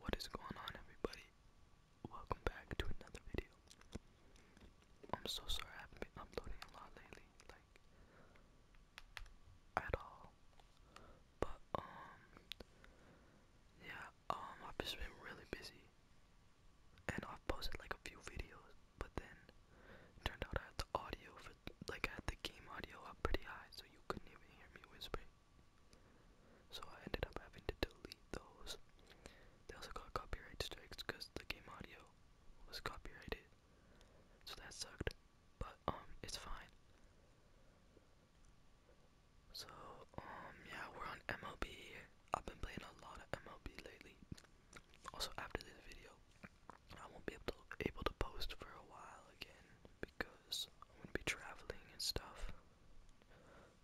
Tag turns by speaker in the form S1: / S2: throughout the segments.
S1: What is going on everybody? Welcome back to another video. I'm so sorry I haven't been uploading a lot lately, like at all. But um yeah, um I've just been really busy. And I've posted like a few videos, but then it turned out I had the audio for like I had the game audio up pretty high so you couldn't even hear me whispering. So I ended up having to delete those. They also got copyright strikes because the game audio was copyrighted. So that sucked. But um it's fine. So um yeah, we're on MLB. I've been playing a lot of MLB lately. Also after this video, I won't be able able to post for a while again because I'm gonna be traveling and stuff.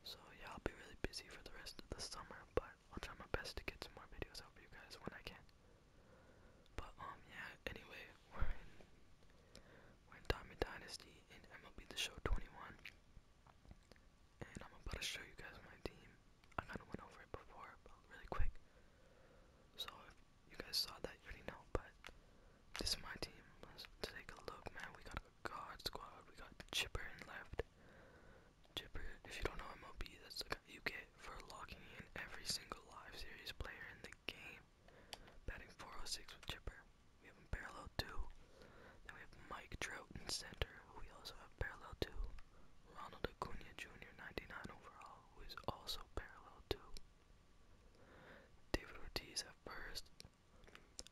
S1: So yeah, I'll be really busy for the rest of the summer, but I'll try my best to get some more videos out for you guys when I can. But um yeah, anyway, we're in we're in Diamond Dynasty and MLB the show 21. And I'm about to show you guys my team. I kinda went over it before, but really quick. So if you guys saw that you already know, but this is my team. Let's take a look, man. We got a God Squad. We got Chipper in left. Chipper, if you don't know MLB, that's the guy you get for locking in every single live series player in the game. Batting 406 with Chipper. We have him parallel 2. Then we have Mike Trout in center, who we also have parallel 2. Ronald Acuna Jr., 99 overall, who is also parallel 2. David Ortiz at first.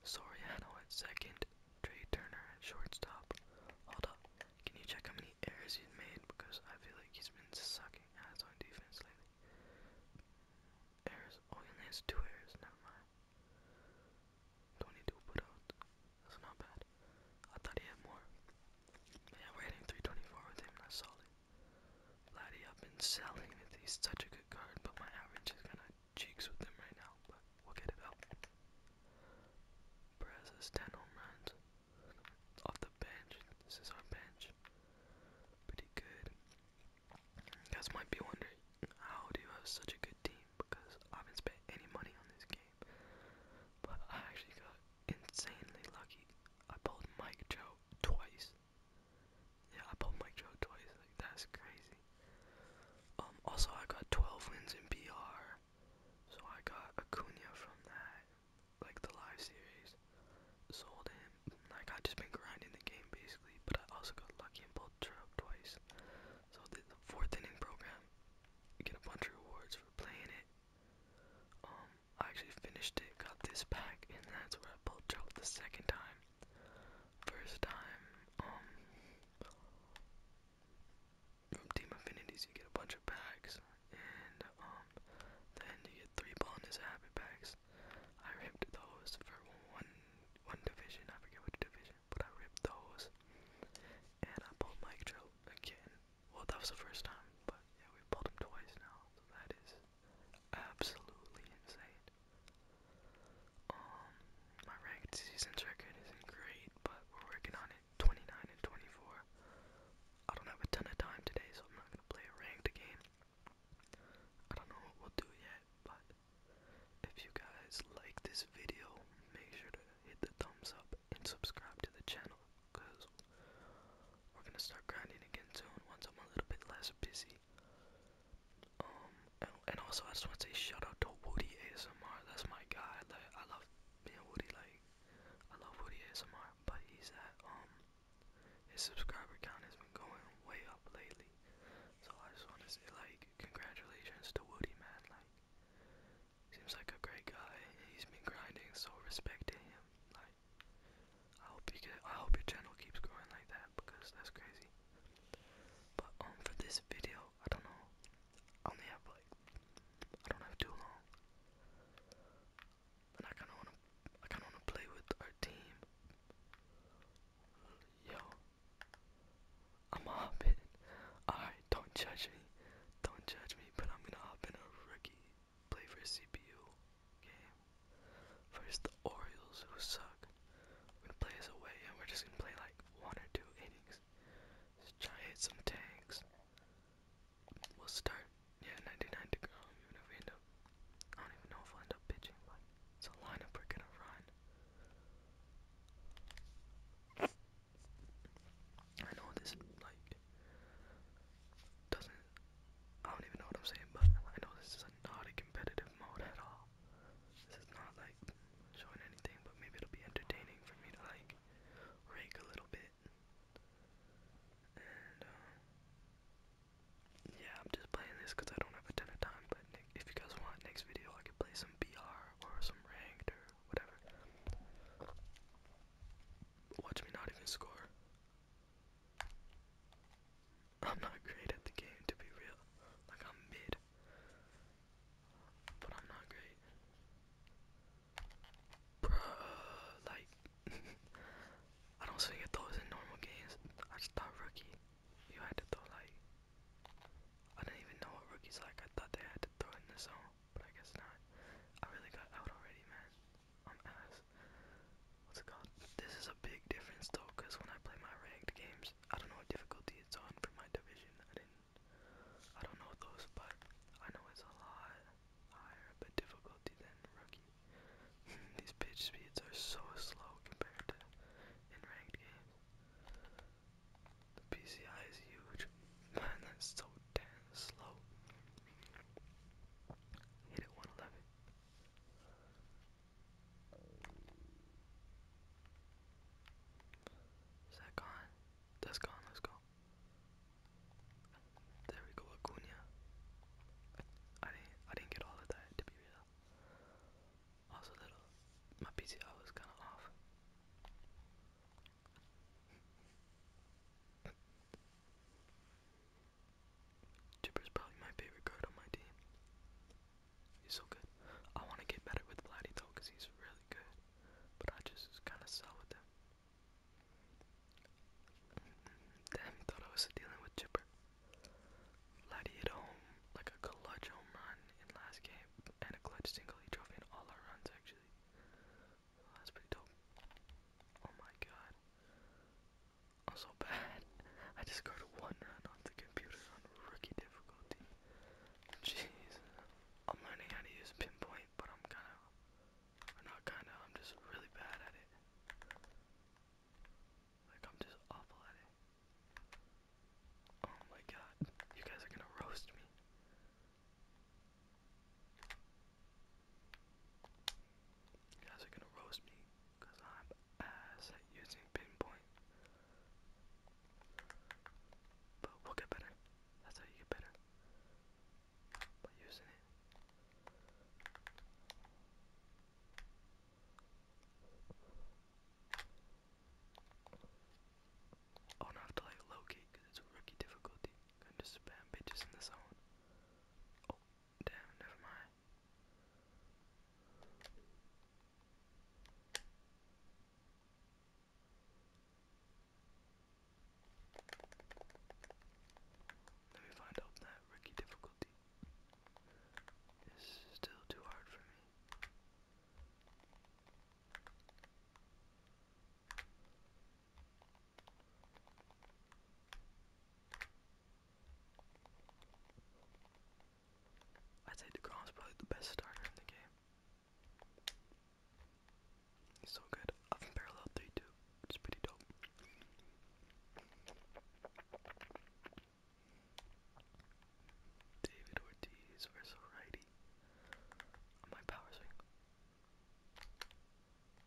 S1: Soriano at second, Trey Turner at shortstop. Hold up, can you check how many errors he's made? Because I feel like he's been sucking ass on defense lately. Errors. Oh, he only has two errors. Never mind. 22 putouts. That's not bad. I thought he had more. Yeah, we're hitting 324 with him. That's solid. Laddie, I've been selling it. He's such a good card, but my average is kind of cheeks with him right now. But we'll get it out. Perez has 10 home runs off the bench. This is our bench. Pretty good. You guys might be wondering, how do you have such a good team? Because I haven't spent any money on this game. But I actually got insanely lucky. I pulled Mike Trout twice. Yeah, I pulled my joke twice. Like that's crazy. Um. Also, I got 12 wins in BR, so I got Acuna from that, like the live series. Sold him. Like I just been grinding the game basically, but I also got lucky and pulled Trout twice. So the fourth inning program, you get a bunch of rewards for playing it. Um, I actually finished it, got this pack, and that's where I pulled Trout the second time. First time, um, from Team Affinities you get a bunch of packs, and, um, then you get three bonus happy packs. I ripped those for one, one division, I forget which division, but I ripped those, and I pulled Mike Trout again. Well, that was the first time, but yeah, we pulled him twice now, so that is absolutely insane. Um, my ranked season record isn't great, but we're working on it. 29 and 24. I don't have a ton of time today, so I'm not gonna play a ranked game. I don't know what we'll do yet, but if you guys like this video, make sure to hit the thumbs up and subscribe to the channel, cause we're gonna start grinding again soon once I'm a little bit less busy. Um, and, and also I just want to say shout out to Woody ASMR. That's my guy. Like I love being Woody. Like I love Woody ASMR, but he's at um his subscriber count has been going way up lately. So I just want to say like congratulations to Woody, man. Like seems like a great guy. He's been grinding, so respect to him. Like I hope you I hope your channel keeps growing like that because that's crazy. But um for this video, I don't know. I only have like I don't have too long. And I kinda wanna I kinda wanna play with our team. Yo I'm a Alright, don't judge me. Don't judge me, but I'm gonna hop in a rookie play for CPU game. First the Orioles, who suck. We're gonna play as away, and we're just gonna play like one or two innings. Just try hit some tanks. We'll start, yeah, 99 to go. Um, even if we end up, I don't even know if we'll end up pitching, but it's a lineup we're gonna run. I know this like doesn't I don't even know what I'm saying, but I know this is a, not a competitive mode at all. This is not like showing anything, but maybe it'll be entertaining for me to like rake a little bit. And um, yeah, I'm just playing this because I don't have a ton of time. But if you guys want next video, I could play some BR or some ranked or whatever. Watch me not even score. I'm not great at the game to be real. Like I'm mid. But I'm not great. Bruh, like I don't swing at those in normal games. I just thought rookie. You had to throw like I didn't even know what rookie's like. I thought they had to throw it in the zone, but I guess not. I really got out already, man. I'm ass. What's it called? This is a big difference though, cause when I play my ranked games, I don't know what difficulty it's on for my division. I didn't, I don't know those, but I know it's a lot higher of a difficulty than rookie. These pitch speeds are so slow compared to in ranked games. The PCI is huge. Man, that's so damn slow. Hit it 111. Is that gone? That's gone, let's go. There we go, Acuna. I didn't I didn't get all of that to be real. Also little uh, my PCI was kinda off. Jibber's probably my favorite card on my team. He's so good. I want to get better with Vladdy though, cause he's really good. But I just kind of sell with him. Damn, he thought I was dealing with Jibber. Vladdy hit home like a clutch home run in last game, and a clutch single. He drove in all our runs actually. Oh, that's pretty dope. Oh my god. I'm so bad. I just scored one run on the computer on rookie difficulty. Jeez. I'm learning how to use pinpoint, but I'm kind of, or not kind of, I'm just really bad at it. Like, I'm just awful at it. Oh my god, you guys are gonna roast me. You guys are gonna roast me because I'm ass at using pinpoint. But we'll get better. That's how you get better. By using it. Oh, I don't have to like locate because it's a rookie difficulty. I'm gonna just spam bitches in the zone. Oh, Damn, Let me find out that rookie difficulty is still too hard for me. I'd say is probably the best starter in the game. so good. Up in parallel 3 2. It's pretty dope. David Ortiz versus righty my power swing.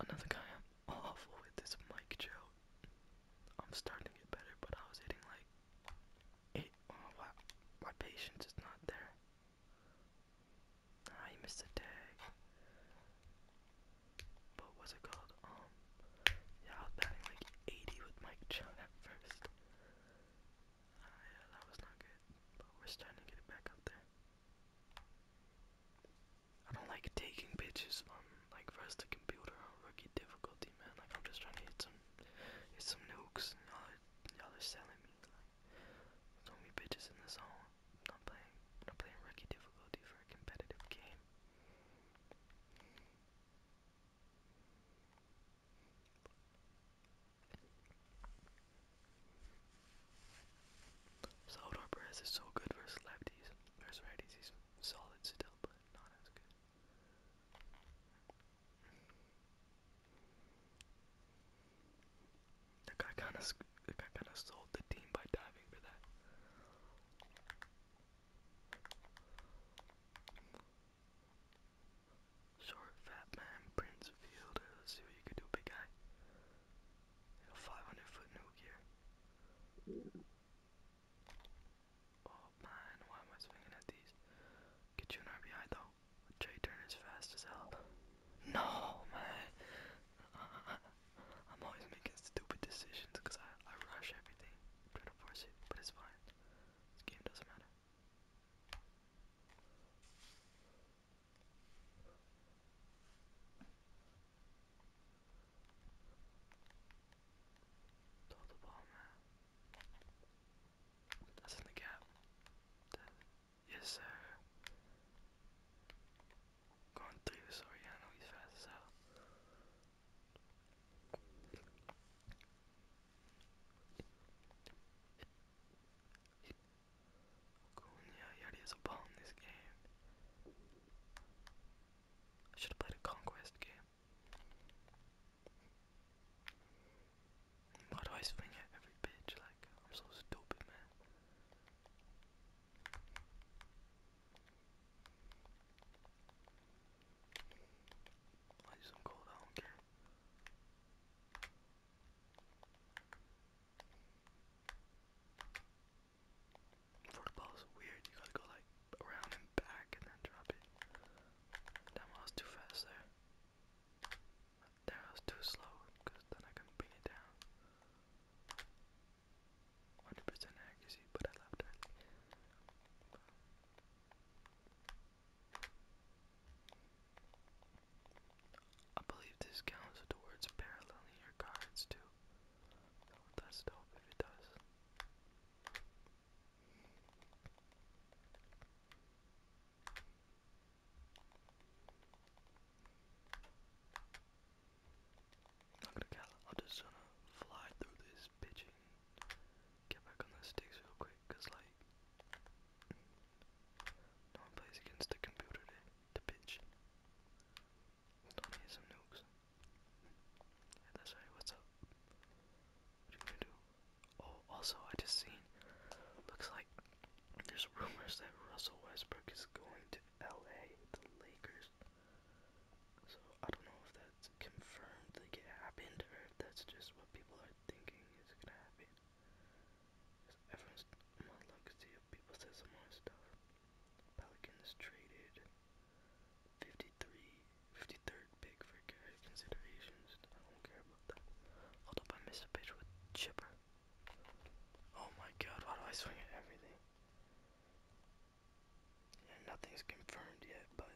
S1: Another guy I'm awful with this Mike Trout. I'm starting to get better, but I was hitting like eight. wow. Oh, my patience is not there. Ah, missed a tag. But what's it called? Um, yeah, I was batting like 80 with Mike Trout at first. Ah, yeah, that was not good. But we're starting to get it back up there. I don't like taking pictures on um, like first the computer on rookie difficulty, man. Like I'm just trying to hit some, hit some nukes. And y'all, y'all are selling me. Like, don't be bitches in the zone. I'm not playing, I'm not playing rookie difficulty for a competitive game. Salvador Perez is so good versus lefties. Versus righties, he's solid still, but not as good. The guy kind of, the guy kind of sold the team by diving for that. Short, fat man, Prince Fielder. Let's see what you can do, big guy. 500 foot nuke here. Oh man, why am I swinging at these? Get you an RBI though. J turn is fast as hell. No, man. I'm always making stupid decisions because I, I rush everything. Try to force it, but it's fine. This game doesn't matter. Throw the ball yes, sir. Going through this Oriano, he's fast Cunha, he has a ball in this game. I should have played a conquest game. Why do I swing at every pitch? Like, I'm so stupid, man. I just am cold, I don't care. Forkball is weird. You gotta go like around and back and then drop it. Damn, I was too fast there. There I was too slow because then I couldn't bring it down. 100% accuracy, but I left early. I believe this counts towards paralleling your cards too. that's dope if it does. I'm not gonna count, I'm just gonna fly through this bitch get back on the sticks real quick, like, no one plays against the computer today the pitch. Don't hit some nukes. Yeah, that's right, what's up? What are you gonna do? Oh, also, I just seen, looks like there's rumors that Russell Westbrook is going to LA, the Lakers. So, I don't know if that's confirmed, like it happened, or if that's just what people are thinking is gonna happen. Everyone's my luck see if people say some more stuff. Pelicans traded 53, 53rd pick for Garrett considerations. I don't care about that. Hold up, I missed a pitch with Chipper. Oh my god, why do I swing at everything? Yeah, nothing's confirmed yet, but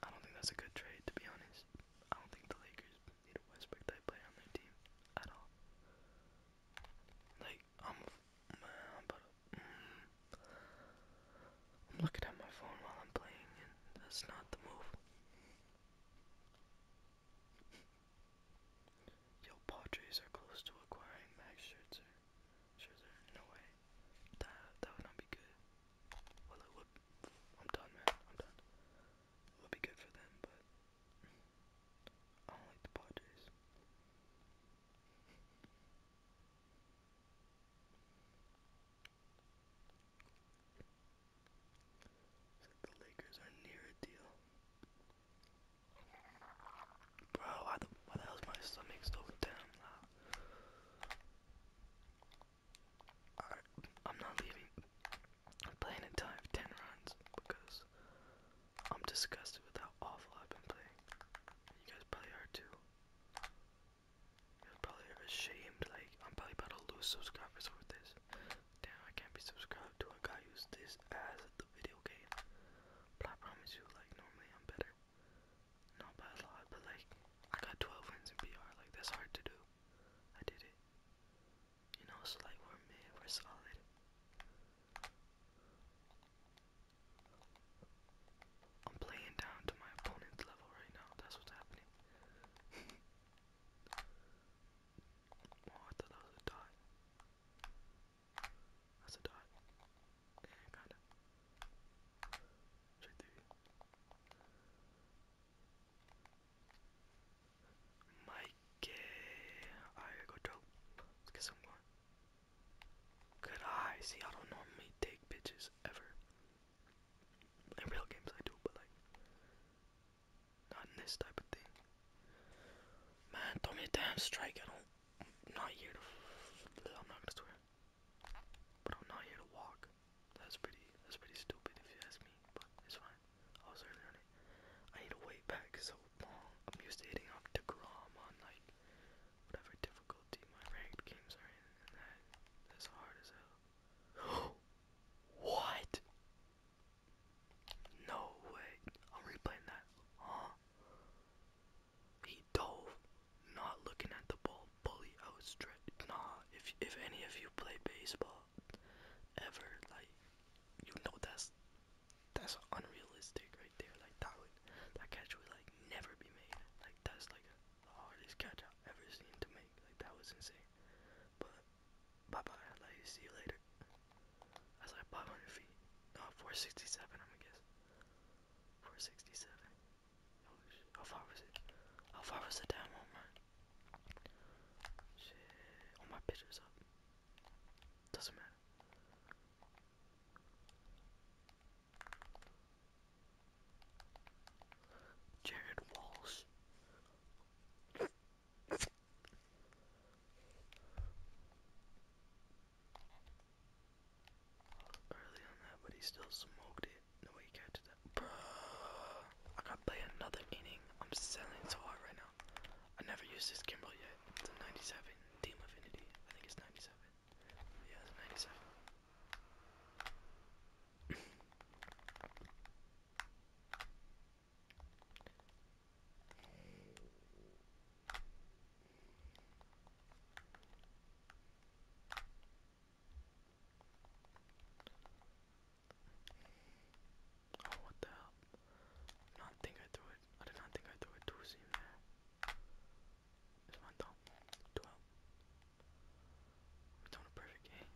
S1: I don't think that's a good trade to be honest. I don't think the Lakers Need a Westbrook type player on their team at all. Like I'm, I'm about to, mm, I'm looking at my phone while I'm playing, and that's not the move. Yo, Padres are close to acquiring Max Scherzer. Scherzer, no way. That that would not be good. Well, it would. I'm done, man. I'm done. It would be good for them, but I don't like the Padres. Like the Lakers are near a deal. Bro, why the, why the hell is my stomach so damn loud? I'm not leaving. I'm playing a tie of 10 rounds because I'm disgusted with how awful I've been playing. You guys probably are too. You are probably ashamed. Like, I'm probably about to lose subscribers over this. Damn, I can't be subscribed to a guy who's this as the video game. But I promise you, like, normally I'm better. Not by a lot, but like, I got 12 wins in PR. Like, that's hard to do. I did it. You know, so like we're made, we're solid. I'm playing down to my opponent's level right now. That's what's happening. oh, I thought that was a dot. That's a dot. Yeah, kinda. Right there. Mikey, I go dope. Let's get some more. Good eye. See, I don't normally take bitches ever. In real games, I do, but like, not in this type of thing. Man, throw me a damn strike. I don't. I'm not here to. I'm not gonna swear. But I'm not here to walk. That's pretty that's pretty stupid if you ask me, but it's fine. I was early on it. I need to wait back so I'm used to hitting up DeGrom on like whatever difficulty my ranked games are in and that that's hard as hell. what? No way. I'm replaying that. Huh? He dove, not looking at the ball, bully outstretched. Nah, if if any of you play baseball, ever like you know that's that's unrealistic right there like that would that catch would like never be made like that's like the hardest catch I've ever seen to make like that was insane but bye bye like see you later that's like 500 feet no 467 I'm gonna guess 467 oh shit. how far was it how far was the damn home run Shit, all my pictures up. Doesn't matter. Jared Walsh. Early on that, but he still smoked it. No I gotta play another inning. I'm selling so hard right now. I never used this gimbal yet. It's a 97. Team Affinity. I think it's 97. Yeah, it's 97. Oh, what the hell? I not think I threw it. I did not think I threw it too soon there. one down. 12. We're doing a perfect game.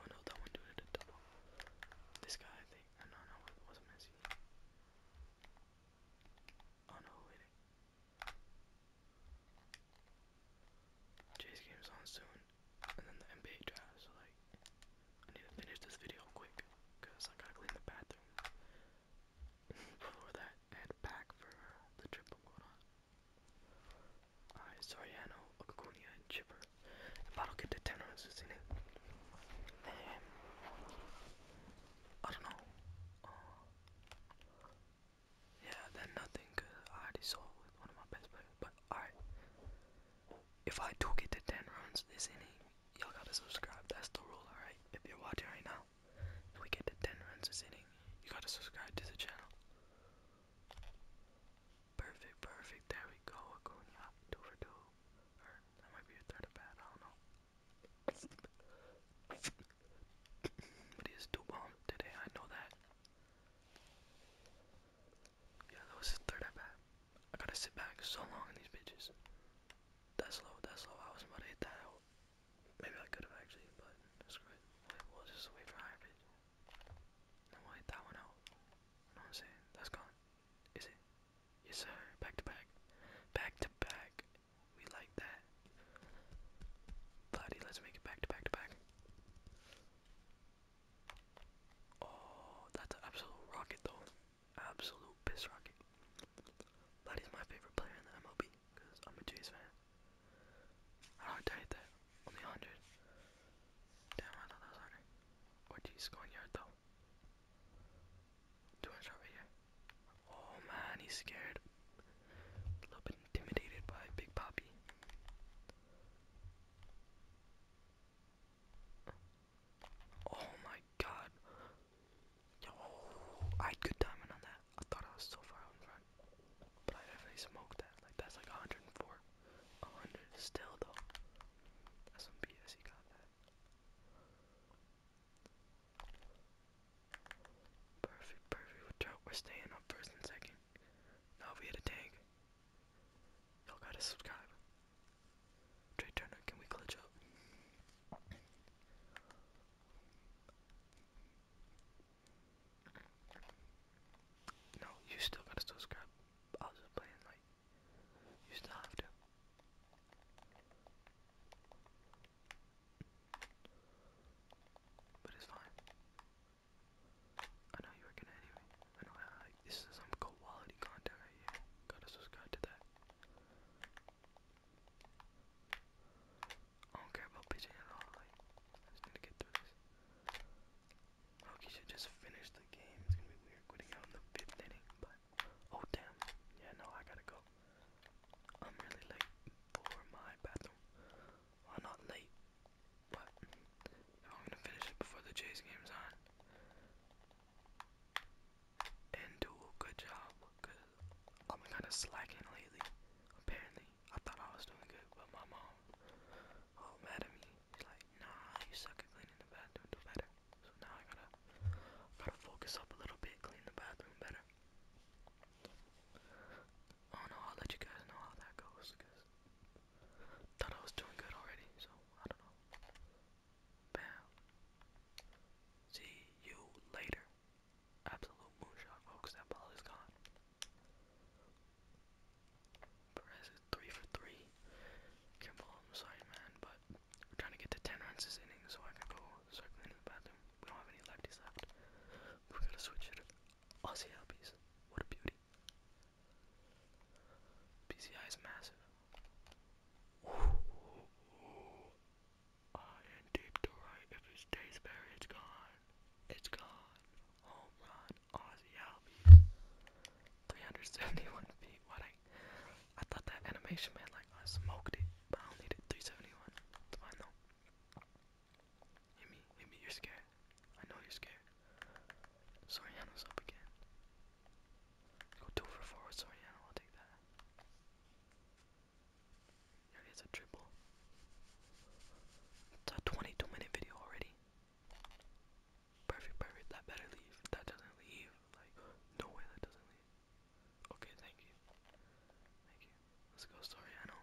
S1: Oh no, that one dude did a double. This guy, I think. Oh, no, no, it wasn't Messi. Oh no, wait. Jay's game's on soon, and then the NBA draft, so like, I need to finish this video quick, because I gotta clean the bathroom before that head back for the trip I'm going on. Alright, Soriano, Okunia, and Chipper. 바로겠대 테너는 쓰시네. 네. I don't know. 어, uh, yeah, that nothing, cause I already saw it with one of my best players. But alright, if I do get to 10 runs this inning, y'all gotta subscribe. That's the rule, alright? If you're watching right now, if we get to 10 runs this inning, you gotta subscribe to the channel. Perfect, perfect. There we go. Acuna, two for two. Or that might be a third of bad. I don't know. but he is two bombs today. I know that. Yeah, that was his third at I gotta sit back so long in these bitches. That's low, that's low. I was about to hit that out. Maybe I could have actually, but screw it. We'll just wait for higher pitch. Then we'll hit that one out. You know what I'm saying? That's gone. Is it? Yes, sir. Back to back. Back to back. We like that. Bloody, let's make it back to back to back. Oh, that's an absolute rocket though. Absolute piss rocket. That is my favorite player in the MLB, because I'm a Jays fan. How do I died that? Only 100. Damn, I thought that was harder. Ortiz going yard though. Do I shot here? Oh man, he's scared. A little bit intimidated by Big Poppy. Oh my god. Yo, I had good timing on that. I thought I was so far out in front. But I definitely smoked that. Like, that's like 104. 100 still, though. That's some BS, he got that. Perfect, perfect. We're staying up first and second. Now we hit a tank. Y'all gotta subscribe. Trey Turner, can we glitch up? No, you still gotta subscribe. I'll just play like you still have to. But it's fine. I know you're gonna anyway. I know this is some quality content right here. Gotta subscribe to that. I don't care about pitching at all, like just need to get through this. Loki should just finish the game. It's gonna be weird quitting out the fifth inning, but oh damn. Yeah, no, I gotta go. I'm really late for my bathroom. Well, not late, but I'm gonna finish it before the Jays game's on. And do good job, i I'm kind of slacking lately. Apparently, I thought I was doing good, but my mom, all mad at me. She's like, "Nah, you suck at cleaning the bathroom. Do better." So now I gotta gotta focus up a little bit, clean the bathroom better. I don't know. I'll let you guys know how that goes. Cause thought I was doing good already, so I don't know. Bam. See you later. Absolute moonshot, folks. That ball is gone. Perez is three for three. Kimball, I'm sorry, man, but we're trying to get to ten runs this inning so I can go circling in the bathroom. We don't have any lefties left. We're gonna switch it. Aussie LPs. What a beauty. PCI is massive. I deep to right. If it stays buried, it's gone. It's gone. Home run. Aussie Albies. 371 feet. What I, I thought that animation meant like I smoked it, but I only did 371. It's fine Hit me, hit me, you're scared. I know you're scared. Soriano's up again. Go two for four with Soriano, I'll take that. There a triple. It's a 22 minute video already. Perfect, perfect, that better leave. That doesn't leave. Like, no way that doesn't leave. Okay, thank you. Thank you. Let's go, Soriano.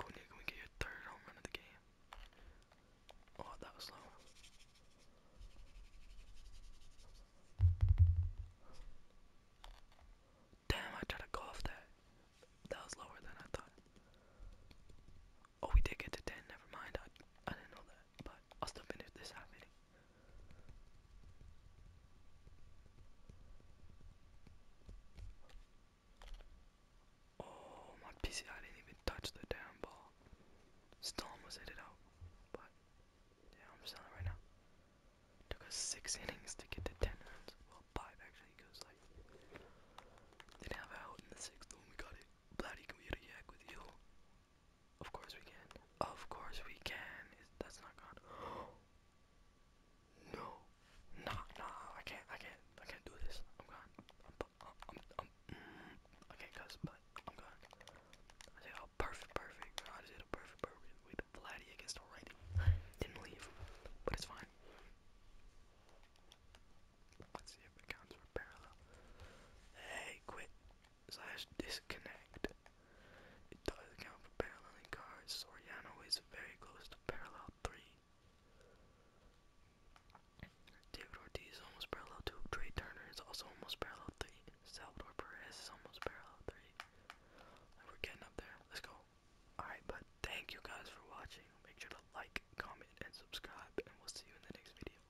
S1: Cunha, we get your third home run of the game? Oh, that was low. Damn, I tried to golf that. That was lower than I thought. Oh, we did get to 10, never mind. I, I didn't know that, but I'll still finish this half Oh, my PC, I didn't even touch the damn ball. Still almost hit it out, but yeah, I'm selling right now. Took us six innings to get to ten runs. Well, five actually, because like didn't have it out in the sixth when we got it. Bloody computer yak with you. Of course we can. Of course we can. that's not gone. no. Nah, nah. I can't. I can't. I can't do this. I'm gone. i can't cuss, but I'm gone. I did a oh, perfect, perfect. I did a perfect, perfect. We the flatty against the Didn't leave, but it's fine. Let's see if it counts for parallel. Hey, quit slash disconnect. It does account for paralleling cards. Soriano is very close to parallel 3. David Ortiz is almost parallel 2. Trey Turner is also almost parallel 3. Salvador Perez is almost parallel 3. we're getting up there. Let's go. Alright, but thank you guys for watching. Make sure to like, comment, and subscribe, and we'll see you in the next video.